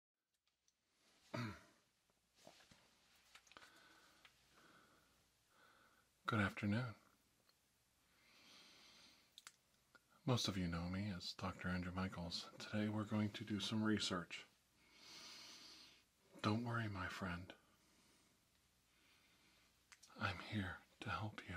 Good afternoon. Most of you know me as Dr. Andrew Michaels. Today we're going to do some research. Don't worry, my friend. I'm here to help you.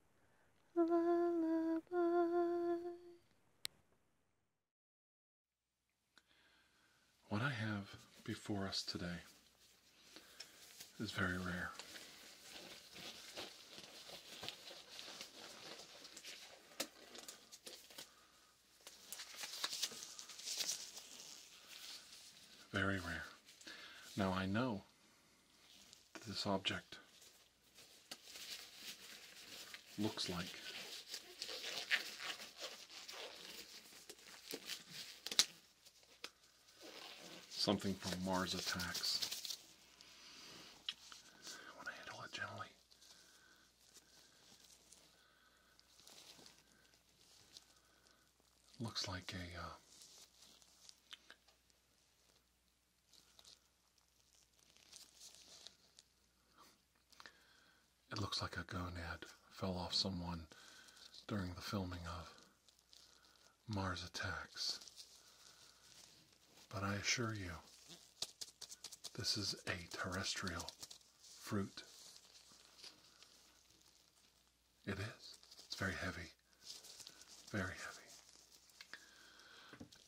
What I have before us today is very rare. Very rare. Now I know that this object looks like. Something from Mars Attacks. I want to handle it gently. Looks like a uh, it looks like a gonad fell off someone during the filming of Mars Attacks. But I assure you, this is a terrestrial fruit. It is. It's very heavy. Very heavy.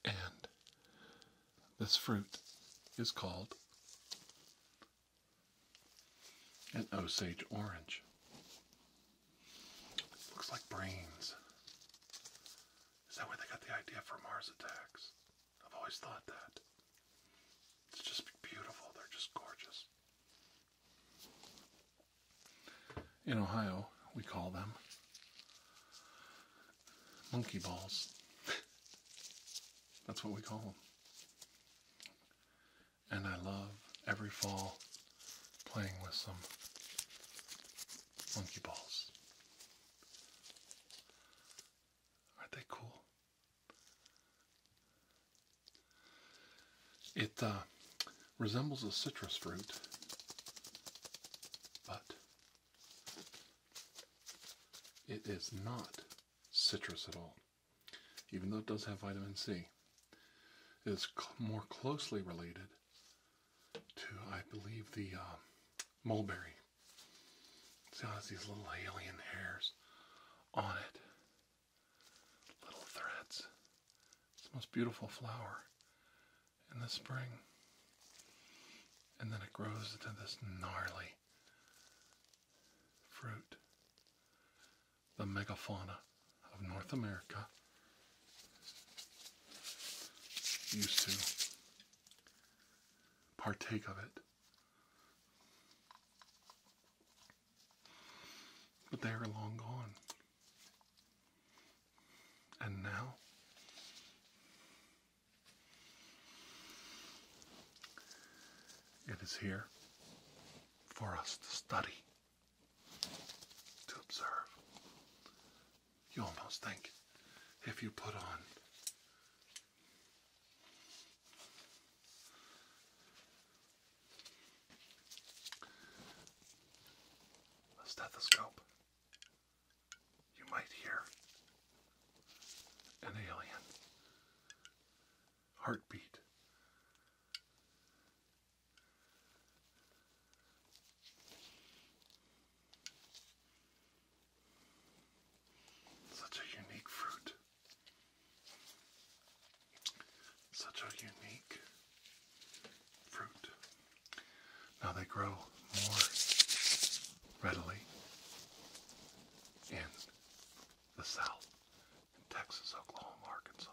And this fruit is called an Osage orange. Looks like brains. Is that where they got the idea for Mars attacks? I've always thought that. It's just beautiful. They're just gorgeous in Ohio, we call them monkey balls. That's what we call them. And I love every fall playing with some monkey balls. Aren't they cool? It uh, resembles a citrus fruit, but it is not citrus at all, even though it does have vitamin C. It is more closely related to, I believe, the uh, mulberry. it has these little alien hairs on it? Little threads. It's the most beautiful flower in the spring. And then it grows into this gnarly fruit. The megafauna of North America used to partake of it. But they are long gone. And now, it is here for us to study, to observe. You almost think if you put on a stethoscope you might hear an alien heartbeat. Such a unique fruit. Such a unique fruit. Now they grow more readily in the south, in Texas, Oklahoma, Arkansas,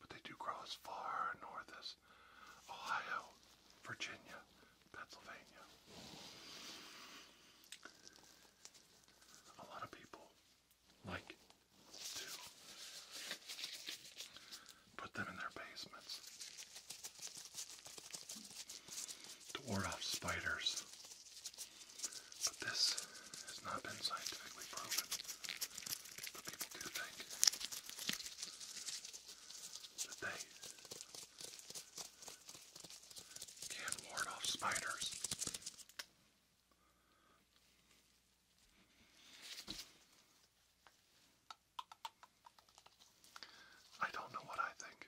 but they do grow as far north as Ohio, Virginia, Pennsylvania. A lot of people like to put them in their basements to ward off spiders. But this has not been scientifically proven. But people do think that they can ward off spiders. I don't know what I think.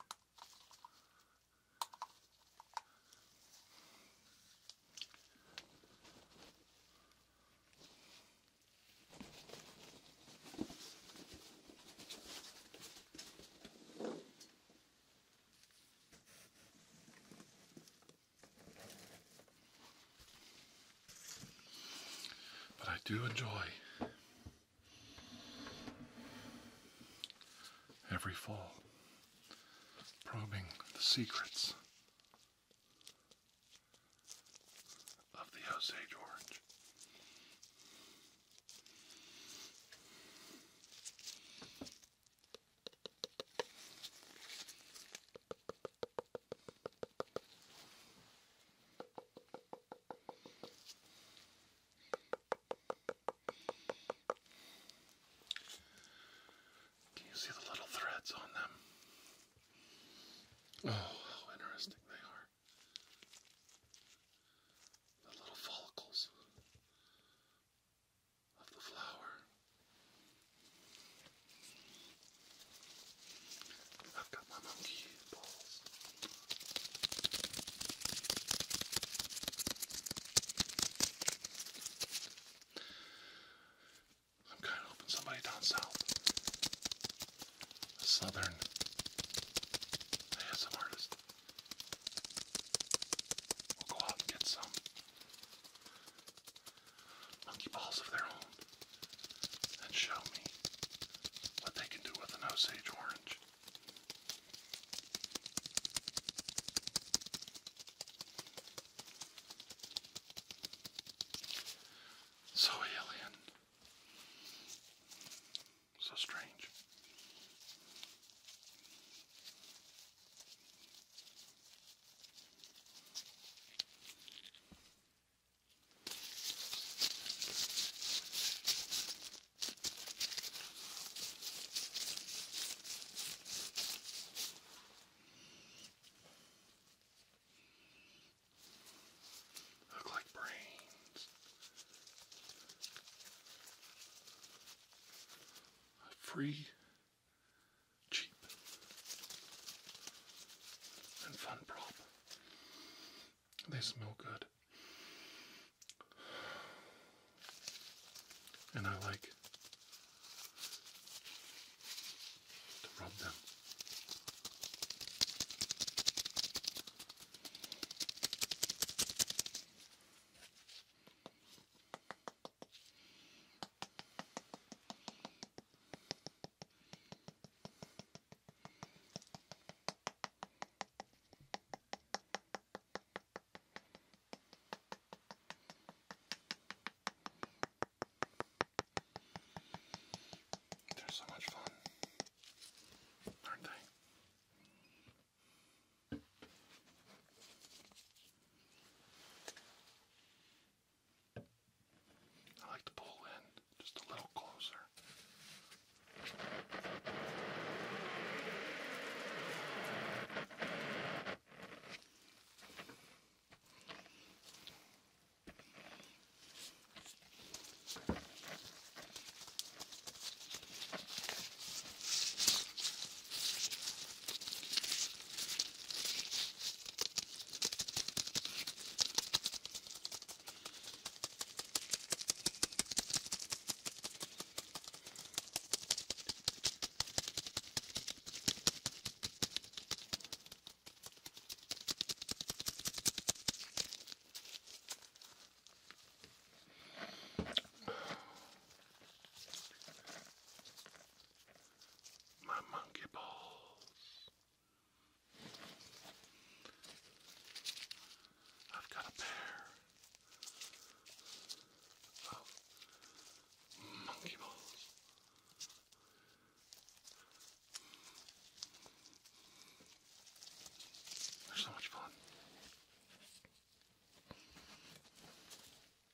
But I do enjoy every fall probing the secrets of the Osage Orange. Can you see the little threads on them? Oh, how interesting they are. The little follicles of the flower. I've got my monkey balls. I'm kind of hoping somebody down south, southern, has artist. will go out and get some. Monkey balls of their own and show me what they can do with an Osage orange. So alien, so strange. Look like brains. A free cheap and fun prop. They smell good. And I like to rub them. They're so much fun, aren't they? I like to pull in just a little closer. My monkey balls. I've got a pair of oh. monkey balls. they so much fun.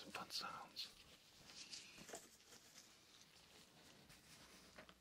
Some fun sounds.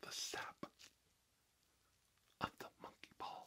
The sap of the monkey ball.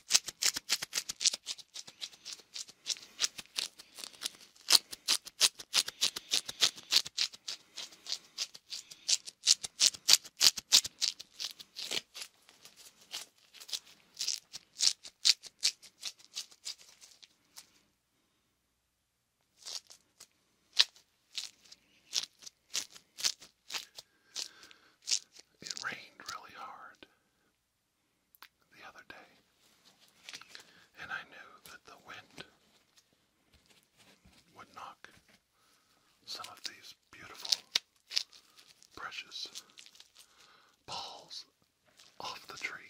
It rained really hard the other day, and I knew that the wind would knock some of these beautiful, precious balls off the tree.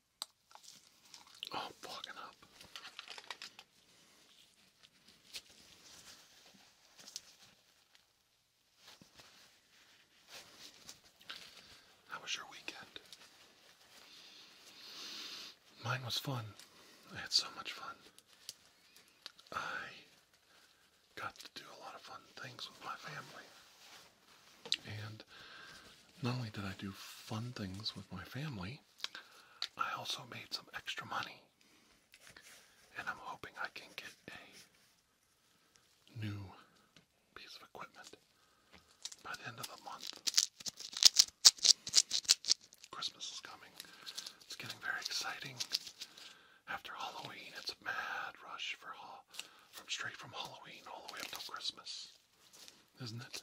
Oh, i fucking up. How was your weekend? Mine was fun. I had so much fun. I got to do a lot of fun things with my family. And not only did I do fun things with my family, I also made some extra money, and I'm hoping I can get a new piece of equipment by the end of the month. Christmas is coming. It's getting very exciting. After Halloween, it's a mad rush for from straight from Halloween all the way up till Christmas doesn't it?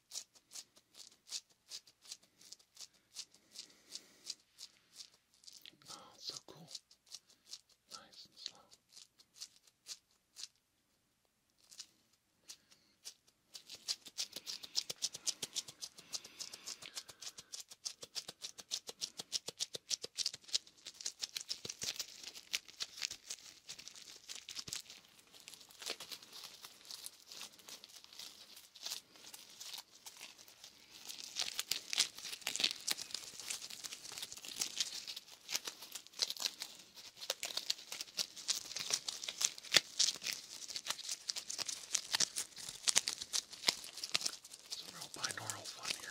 Oh, it's so cool. Nice and slow. Some real binaural fun here.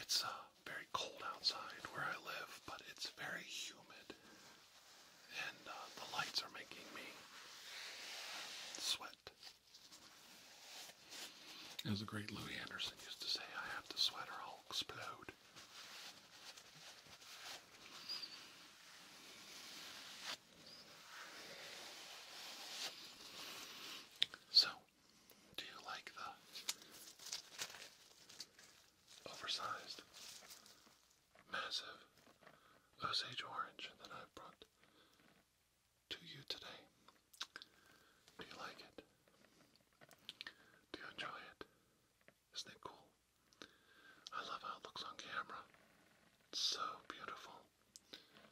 It's uh, very cold outside where I live, but it's very humid, and uh, the lights are making me sweat. As the great Louis Anderson used to say, I have to sweater or I'll explode. So, do you like the oversized, massive Osage orange that i brought to you today. Do you like it? Do you enjoy it? Isn't it cool? I love how it looks on camera. so beautiful.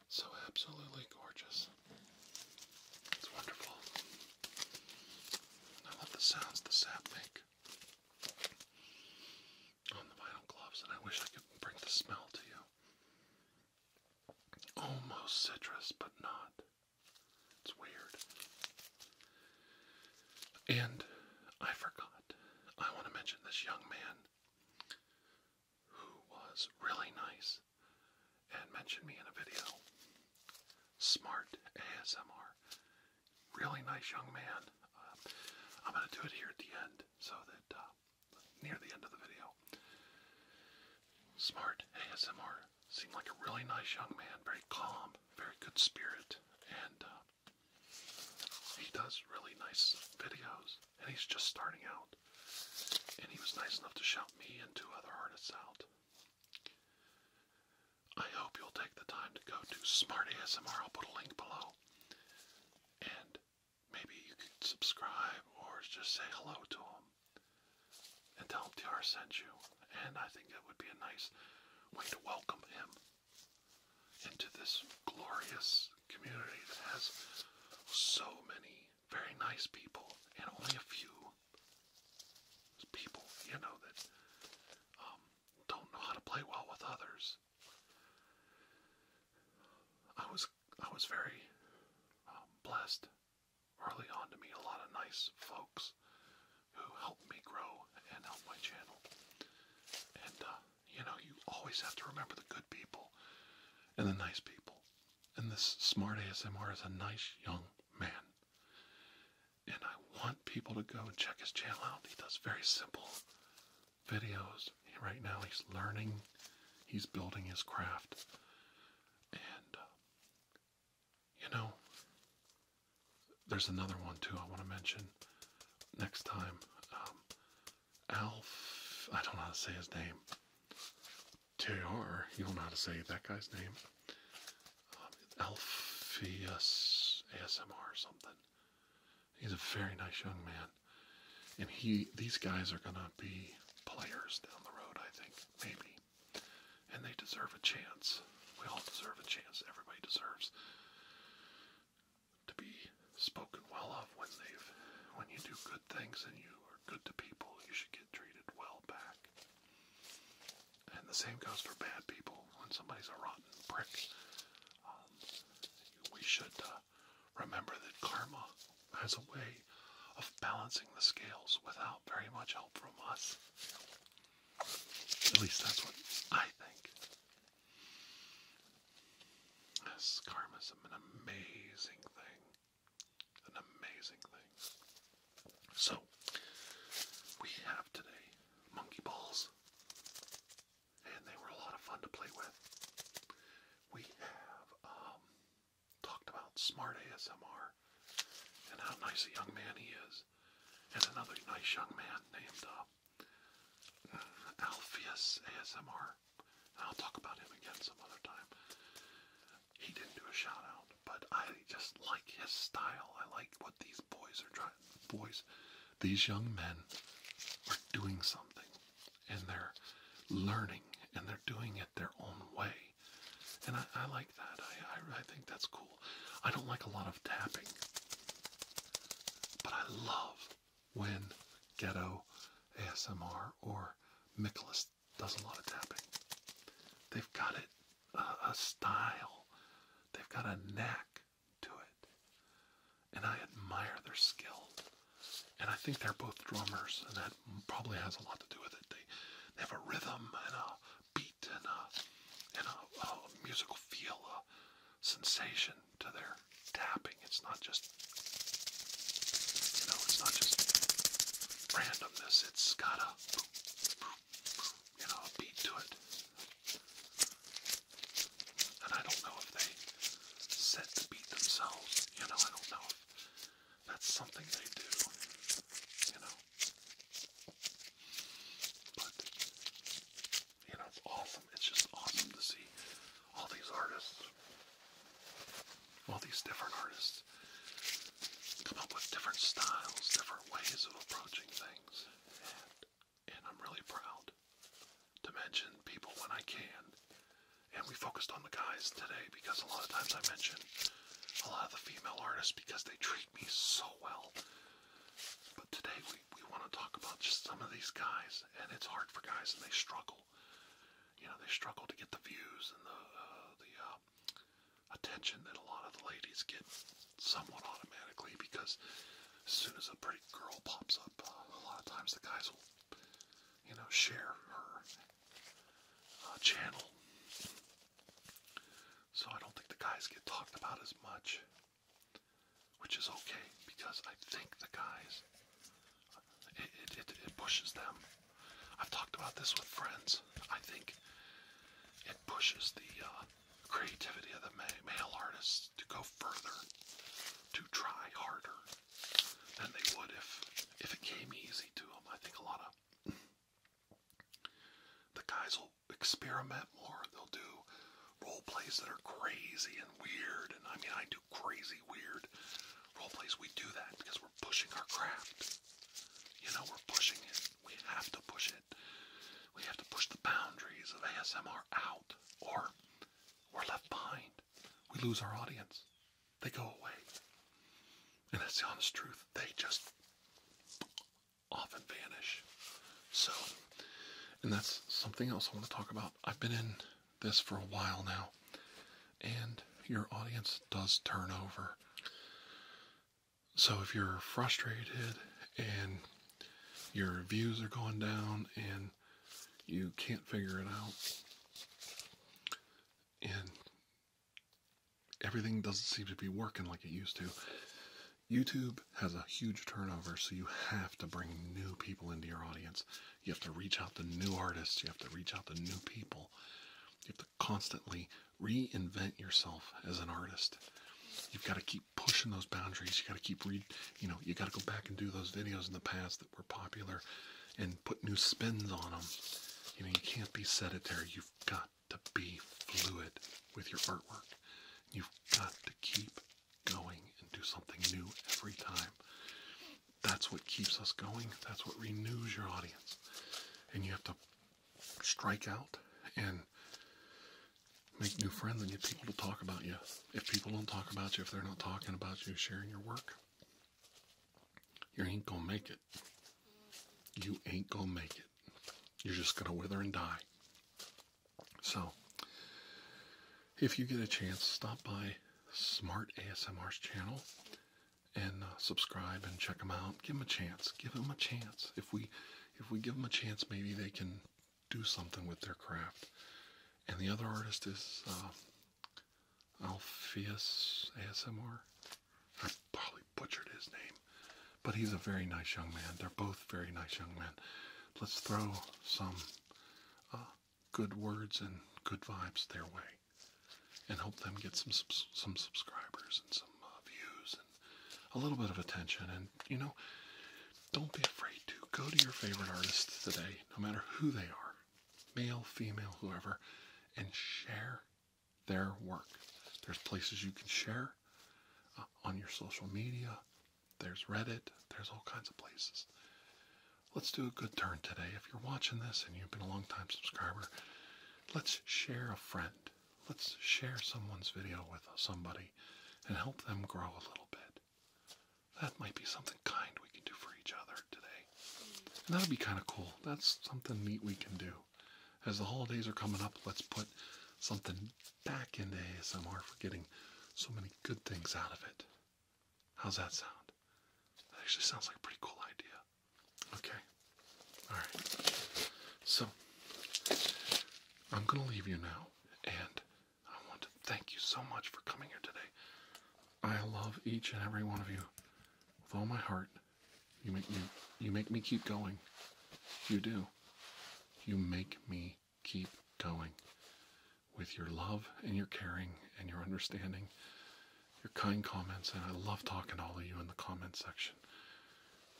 So absolutely gorgeous. It's wonderful. I love the sounds the sap make on the vinyl gloves, and I wish I could bring the smell to you. Almost citrus, but not. It's weird. And I forgot. I want to mention this young man who was really nice and mentioned me in a video. Smart ASMR. Really nice young man. Uh, I'm going to do it here at the end so that uh, near the end of the video. Smart ASMR seemed like a really nice young man, very calm, very good spirit, and uh, he does really nice videos. And he's just starting out, and he was nice enough to shout me and two other artists out. I hope you'll take the time to go to Smart ASMR. I'll put a link below and maybe you could subscribe or just say hello to him and tell him TR sent you. And I think that would be a nice way to welcome him into this glorious community that has so many very nice people and only a few people, you know, that um, don't know how to play well with others. I was I was very um, blessed early on to meet a lot of nice folks who helped me grow and help my channel. And uh, you know, you always have to remember the good people and the nice people. And this smart ASMR is a nice young man. And I want people to go and check his channel out. He does very simple videos. Right now, he's learning, he's building his craft, and uh, you know, there's another one too I want to mention next time. Um, Alf, I don't know how to say his name. T R, You don't know how to say that guy's name. Um, ASMR or something. He's a very nice young man. And he these guys are gonna be players down the road, I think, maybe. And they deserve a chance. We all deserve a chance. Everybody deserves to be spoken well of when they've when you do good things and you are good to people, you should get treated well back. And the same goes for bad people. When somebody's a rotten prick, um, we should uh, Remember that karma has a way of balancing the scales without very much help from us. At least that's what I think. Yes, karma's an amazing thing. An amazing thing. So, we have today monkey balls and they were a lot of fun to play with. We have um, talked about Smart ASMR and how nice a young man he is, and another nice young man named uh, Alpheus ASMR. And I'll talk about him again some other time. He didn't do a shout out, but I just like his style. I like what these boys are trying. Boys these young men are doing something and they're learning and they're doing it their own way. And I, like that. I, I, think that's cool. I don't like a lot of tapping, but I love when Ghetto, ASMR, or Nicholas does a lot of tapping. They've got it, a style. They've got a knack to it. And I admire their skill. And I think they're both drummers, and that probably has a lot to do with it. They, have a rhythm and a beat and a, musical feel, a sensation to their tapping. It's not just, you know, it's not just randomness. It's got a, you know, a beat to it. And I don't know if they set the beat themselves. You know, I don't know if that's something they do. You know. But you know, it's awesome. It's just awesome to see all these artists, all these different artists, come up with different styles, different ways of approaching things and I'm really proud to mention people when I can. And we focused on the guys today because a lot of times I mention a lot of the female artists because they treat me so well. But today we, we want to talk about just some of these guys, and it's hard for guys and they struggle. You know, they struggle to get the views and the, uh, the uh, attention that a lot of the ladies get somewhat automatically because as soon as a girl pops up, a lot of times the guys will, you know, share her uh, channel. So I don't think the guys get talked about as much, which is okay because I think the guys, uh, it, it, pushes them. I've talked about this with friends. I think it pushes the uh, creativity of the male artists to go further to try harder than they would if if it came easy to them. I think a lot of the guys will experiment more. They'll do role plays that are crazy and weird, and I mean I do crazy weird role plays. We do that because we're pushing our craft. You know, we're pushing it. We have to push it. We have to push the boundaries of ASMR out, or we're left behind. We lose our audience. They go away. And that's the honest truth. They just often vanish. So, and that's something else I want to talk about. I've been in this for a while now, and your audience does turn over. So if you're frustrated and your views are going down and you can't figure it out. And everything doesn't seem to be working like it used to. YouTube has a huge turnover, so you have to bring new people into your audience. You have to reach out to new artists, you have to reach out to new people. You have to constantly reinvent yourself as an artist. You've got to keep pushing those boundaries. You got to keep read, you know, you got to go back and do those videos in the past that were popular and put new spins on them. You know, you can't be sedentary. You've got to be fluid with your artwork. You've got to keep going and do something new every time. That's what keeps us going. That's what renews your audience. And you have to strike out and make new friends and get people to talk about you. If people don't talk about you, if they're not talking about you, sharing your work, you ain't gonna make it. You ain't gonna make it. You're just gonna wither and die. So, if you get a chance, stop by Smart ASMR's channel and uh, subscribe and check them out. Give them a chance. Give them a chance. If we, if we give them a chance, maybe they can do something with their craft. And the other artist is uh, Alpheus ASMR. I probably butchered his name, but he's a very nice young man. They're both very nice young men. Let's throw some uh, good words and good vibes their way, and help them get some some subscribers and some uh, views and a little bit of attention. And you know, don't be afraid to go to your favorite artists today, no matter who they are, male, female, whoever, and share their work. There's places you can share uh, on your social media. There's Reddit. There's all kinds of places. Let's do a good turn today. If you're watching this and you've been a long time subscriber, let's share a friend. Let's share someone's video with somebody and help them grow a little bit. That might be something kind we can do for each other today. And that'd be kind of cool. That's something neat we can do. As the holidays are coming up, let's put something back into ASMR for getting so many good things out of it. How's that sound? That actually sounds like a pretty cool idea. Okay. Alright. So, I'm going to leave you now and I want to thank you so much for coming here today. I love each and every one of you with all my heart. You make me you make me keep going. You do. You make me keep going with your love and your caring and your understanding, your kind comments, and I love talking to all of you in the comment section.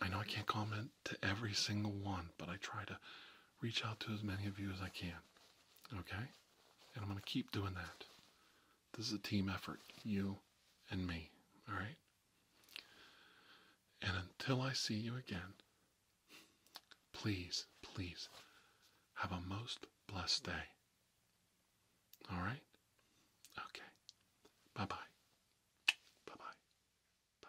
I know I can't comment to every single one, but I try to reach out to as many of you as I can. Okay? And I'm going to keep doing that. This is a team effort, you and me. All right? And until I see you again, please, please have a most blessed day. All right? Okay. Bye bye. Bye bye. Bye bye.